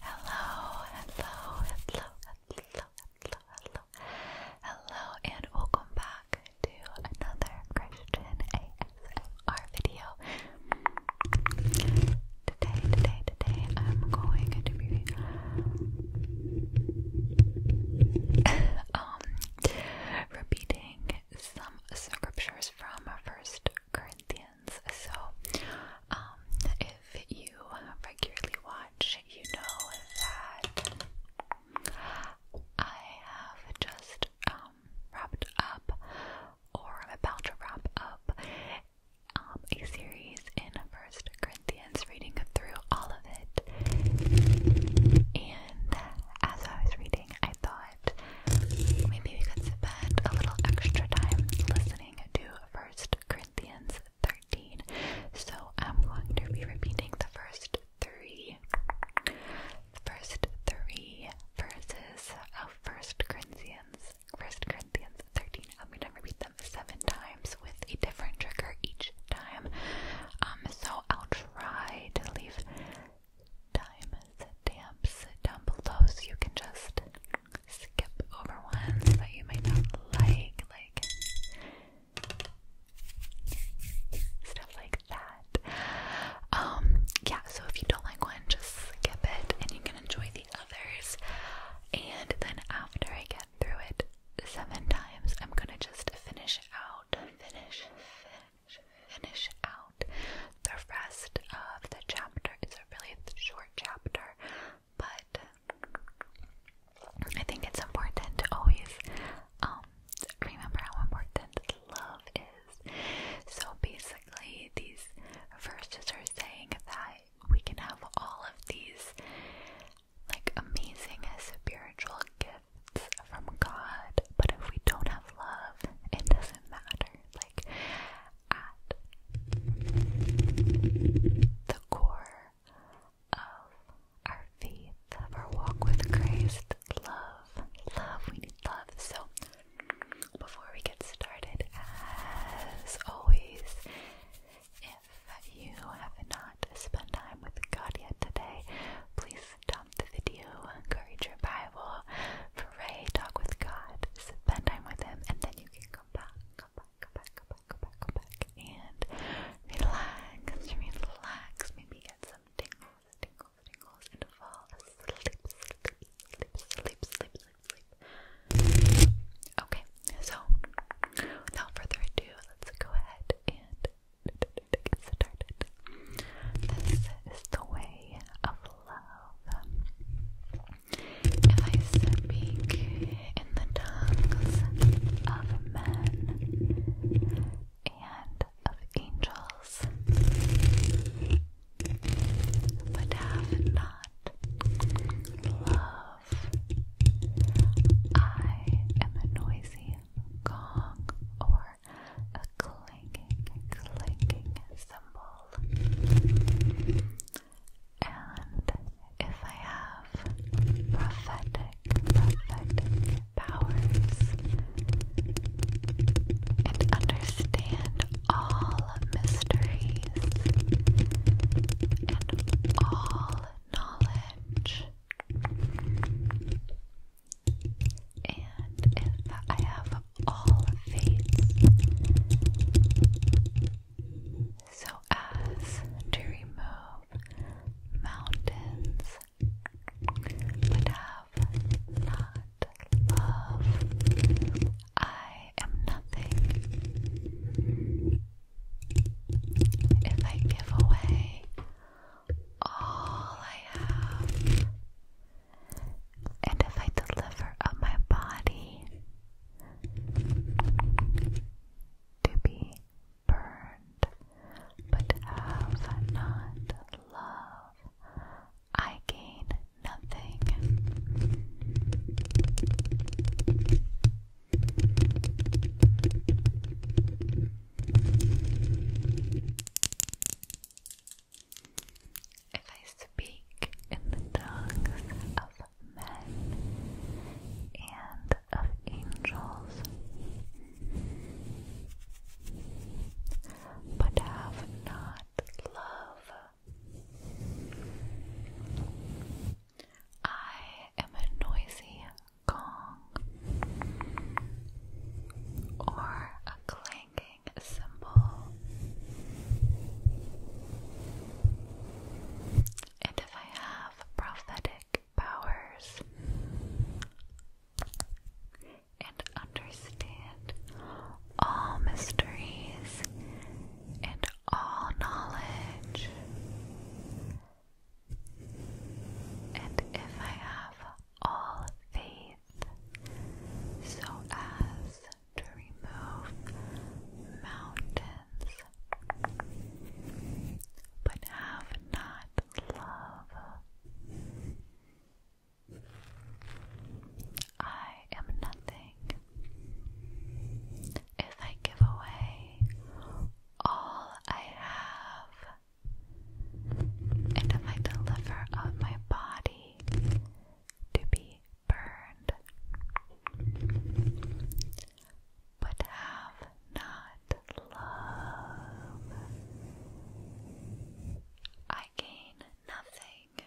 Hello, hello, hello, hello, hello, hello, hello, and welcome back to another Christian ASMR video. Today, today, today, I'm going to be um repeating some scriptures from First Corinthians. So, um, if you regularly watch, you know that I have just um, wrapped up, or I'm about to wrap up, um, a series in First Corinthians, reading through all of it. And as I was reading, I thought maybe we could spend a little extra time listening to First Corinthians 13. So I'm going to be repeating the first three, three verses of First Corinthians, First Corinthians 13. I'm going to repeat them seven times with a different trigger each time. Um, so I'll try to leave time stamps down below so you can just skip over ones that you might not like, like stuff like that. Um, yeah, so if you don't like one, just skip it and you can enjoy the others. And then after I get through it seven times, I'm gonna just finish out, finish, finish finish out the rest of the chapter. It's a really short chapter, but I think it's important to always um, remember how important love is. So basically, these verses are saying that we can have all of these like amazing spiritual gifts from God, but if we don't have love, it doesn't matter. Like, at the core of our faith, of our walk with Christ, love, love, we need love. So, before we get started, as always, if you have not spent time with God yet today, please Top the video, encourage your Bible, pray, talk with God, spend time with Him, and then you can come back, come back, come back, come back, come back, come back, and relax, relax, maybe get some tingles, tingles, tingles, and fall asleep, sleep, sleep, sleep, sleep, sleep. Okay, so without further ado, let's go ahead and get started. This is the way of love. If I speak in the tongues of men and of angels, but have not love, I am a noisy gong or a clinking, clinking symbol. And if I have prophetic, prophetic powers and understand all mysteries and all knowledge, and if I have all faith, so as to remove mountains, but have not love, I am nothing. If I give away all I have. And if I deliver up my body to be burned, but have not love, I gain nothing. If I speak in the tongues of men and of angels, but have not love, I am a noisy gong or a clanking cymbal. And if I have prophetic powers and understand all mysteries and all knowledge, and if I have all faith so as to remove mountains, but have not love, I am nothing. If I give away all I have and I deliver up my body to be burned, but have not love. I gain nothing.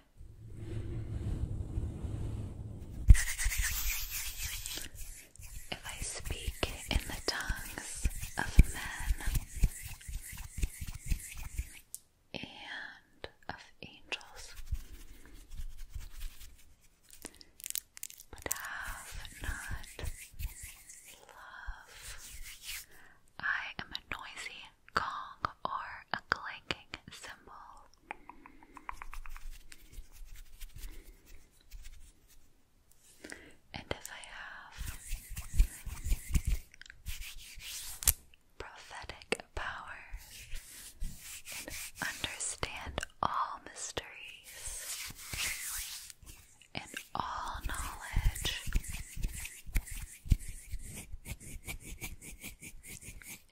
If I speak in the tongues of men and of angels, but have not love, I am a noisy gong or a clanking symbol. And if I have prophetic powers and understand all mysteries and all knowledge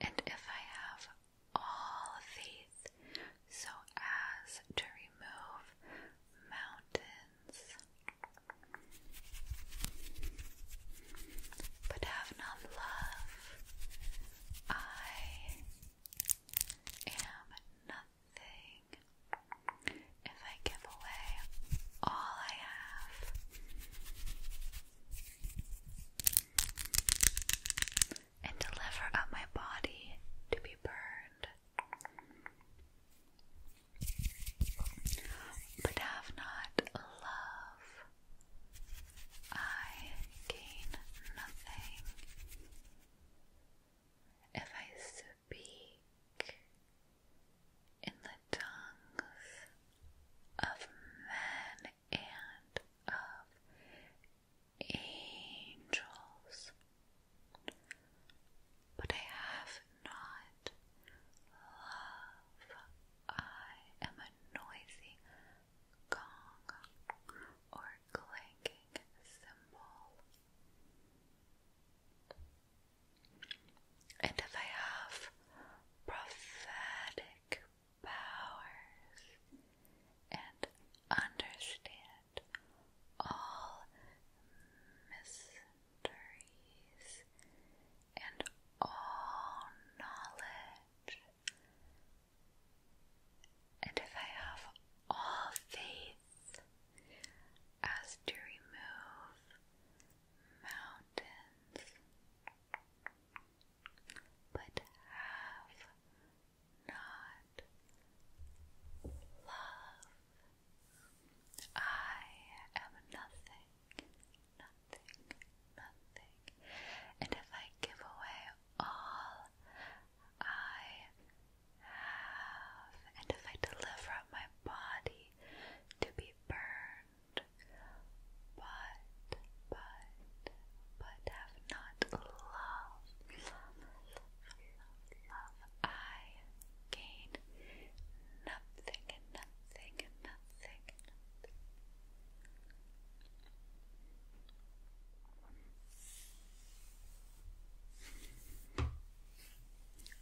and if I have all faith so as to remove mountains, but have not love. I am nothing if I give away all I have and deliver up my body to be burned. But have not love, I gain nothing. If I speak in the tongues of men and of angels, but I have not love. I am a noisy gong or clanking cymbal. And if I have prophetic powers, and understand all mysteries and all knowledge. And if I have all faith as to remove mountains, but have not love. I am nothing, nothing, nothing. And if I give away all I have, and if I deliver up my body to be burned, but but, but have not love, I gain nothing and nothing and nothing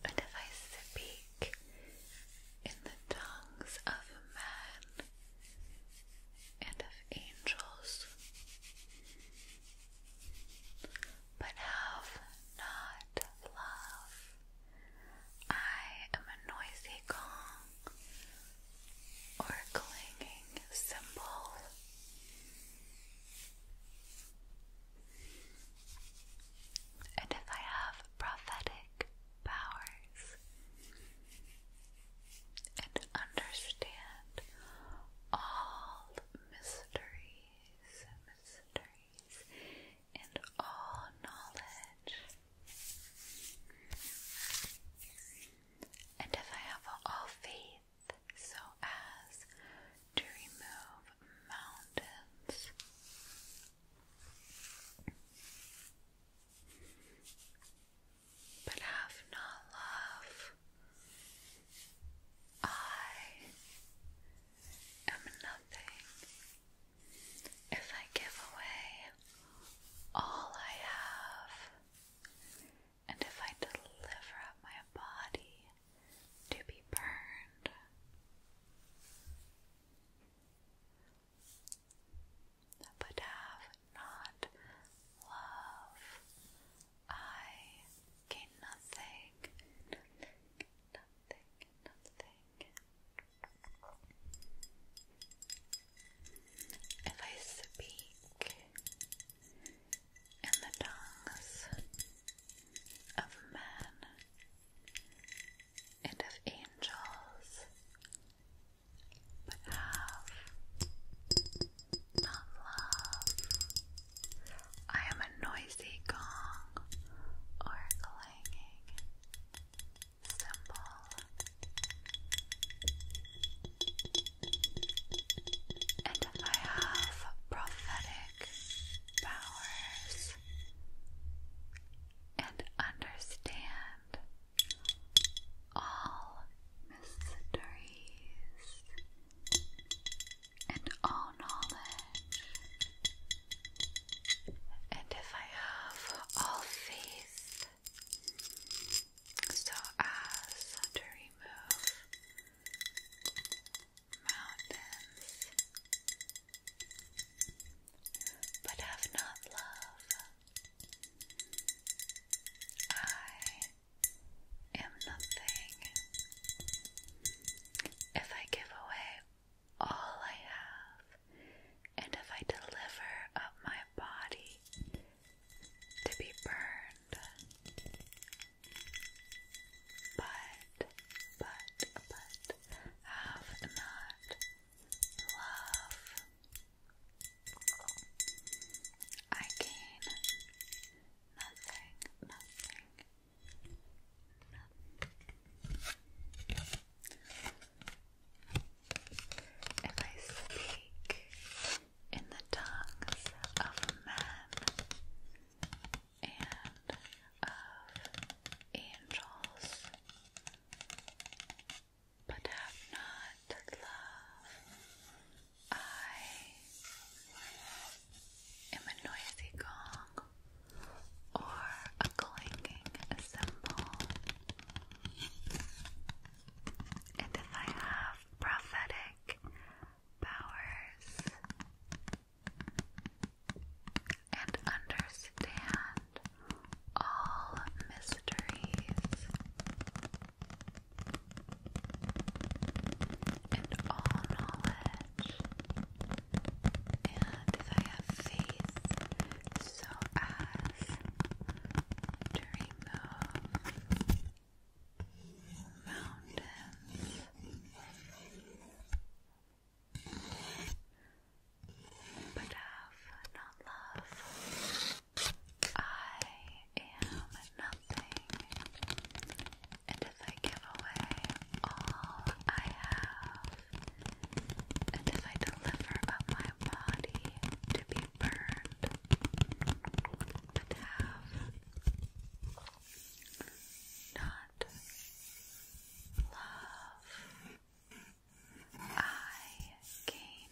and if I speak in the tongues of man and of angels, but have not love. I am a noisy gong or clanging cymbal. And if I have prophetic powers, and understand all mysteries, mysteries, and all knowledge. And if I have all faith, so as to remove mountains but have not love. I am nothing if I give away all I have, and if I deliver up my body to be burned but have not love. I gain nothing, nothing, nothing, nothing. If I speak in the tongues of men and of angels but have not love. I am a noisy gong or clanging symbol, and I have prophetic powers. And understand all mysteries and all knowledge. And if I have all faith, so as to remove mountains, but have not love, I am nothing. If I give away all I have, and if I deliver up my body to be burned, but, but, but, have not love I gain nothing, nothing, nothing. If I speak in the tongues of men and of angels, but have not love. I am a noisy gong or a clanking symbol. And if I have prophetic powers and understand all mysteries and all knowledge. And I have faith so as to remove mountains but have not love. I am nothing. And if I give away all I have, and if I deliver up my body to be burned, but have not love. I gain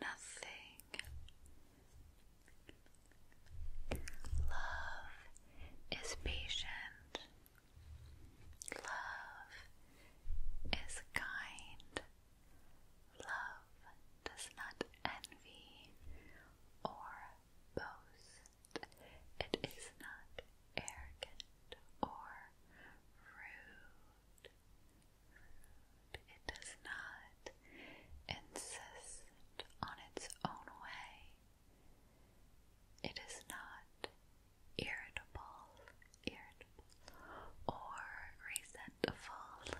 nothing. Love is patient. Love is kind. Love does not envy or boast it is not arrogant or rude. It does not insist on its own way. It is not irritable, irritable or resentful.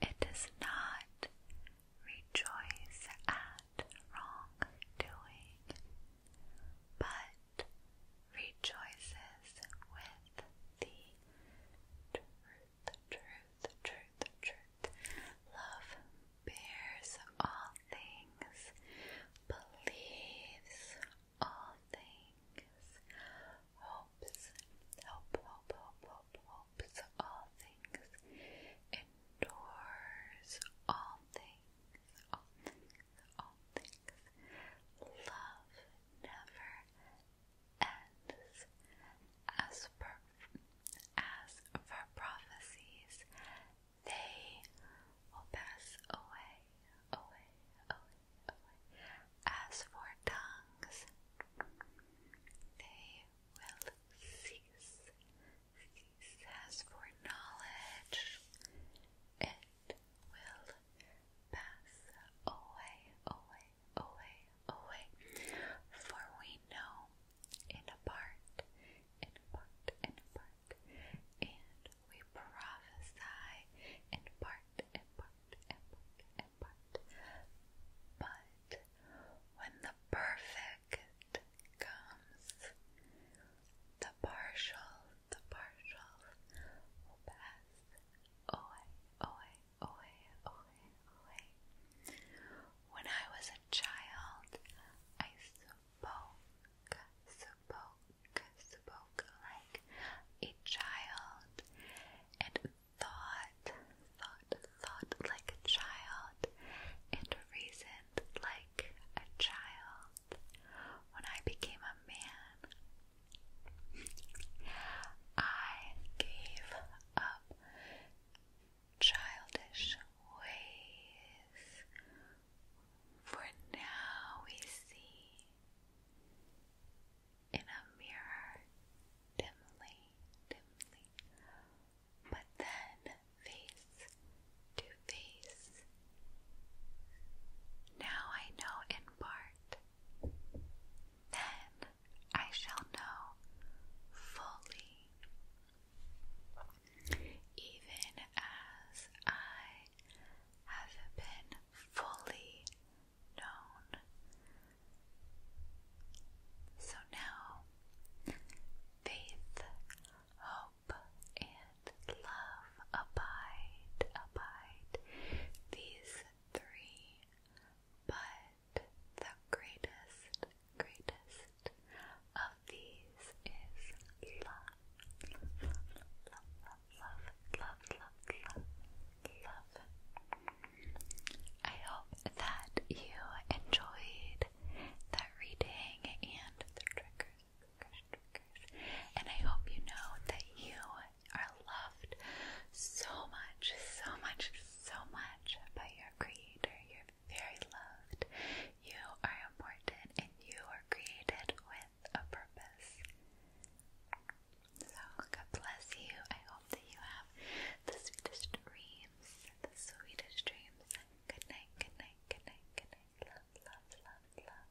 It is not rejoice at wrongdoing, but rejoices with the truth, truth, truth, truth. Love bears all things, believes all things, hopes, hope, hope, hope, hope, hopes all endures all things, Love never ends. As per as for prophecies, they will pass away. As for tongues, they will cease. Cease for knowledge, it will pass away, away, away, away. For we know in part, in part, in part, and we prophesy in part, in part, in part, in part. But when the perfect comes, the partial, the partial will pass away, away, away, away, away. When I was a child, I spoke, spoke, spoke like a child, and thought, thought, thought like a child, and reasoned like a child. When I became a man, I gave up childish ways. For now we see in a mirror dimly, dimly, but then face to face. Now I know in part, then I shall know fully. Even as I have been fully known, so now, faith, hope, and love abide, abide, these three, but the greatest, greatest of these is love, love, love, love, love, love, love, love, I hope that you enjoyed that reading and the triggers, And I hope you know that you are loved so much, so much, so much by your creator. You're very loved. You are important and you are created with a purpose. So, God bless you. I hope that you have the sweetest dreams. The sweetest dreams. Good night, good night, good night, good night. Love, love, love, love.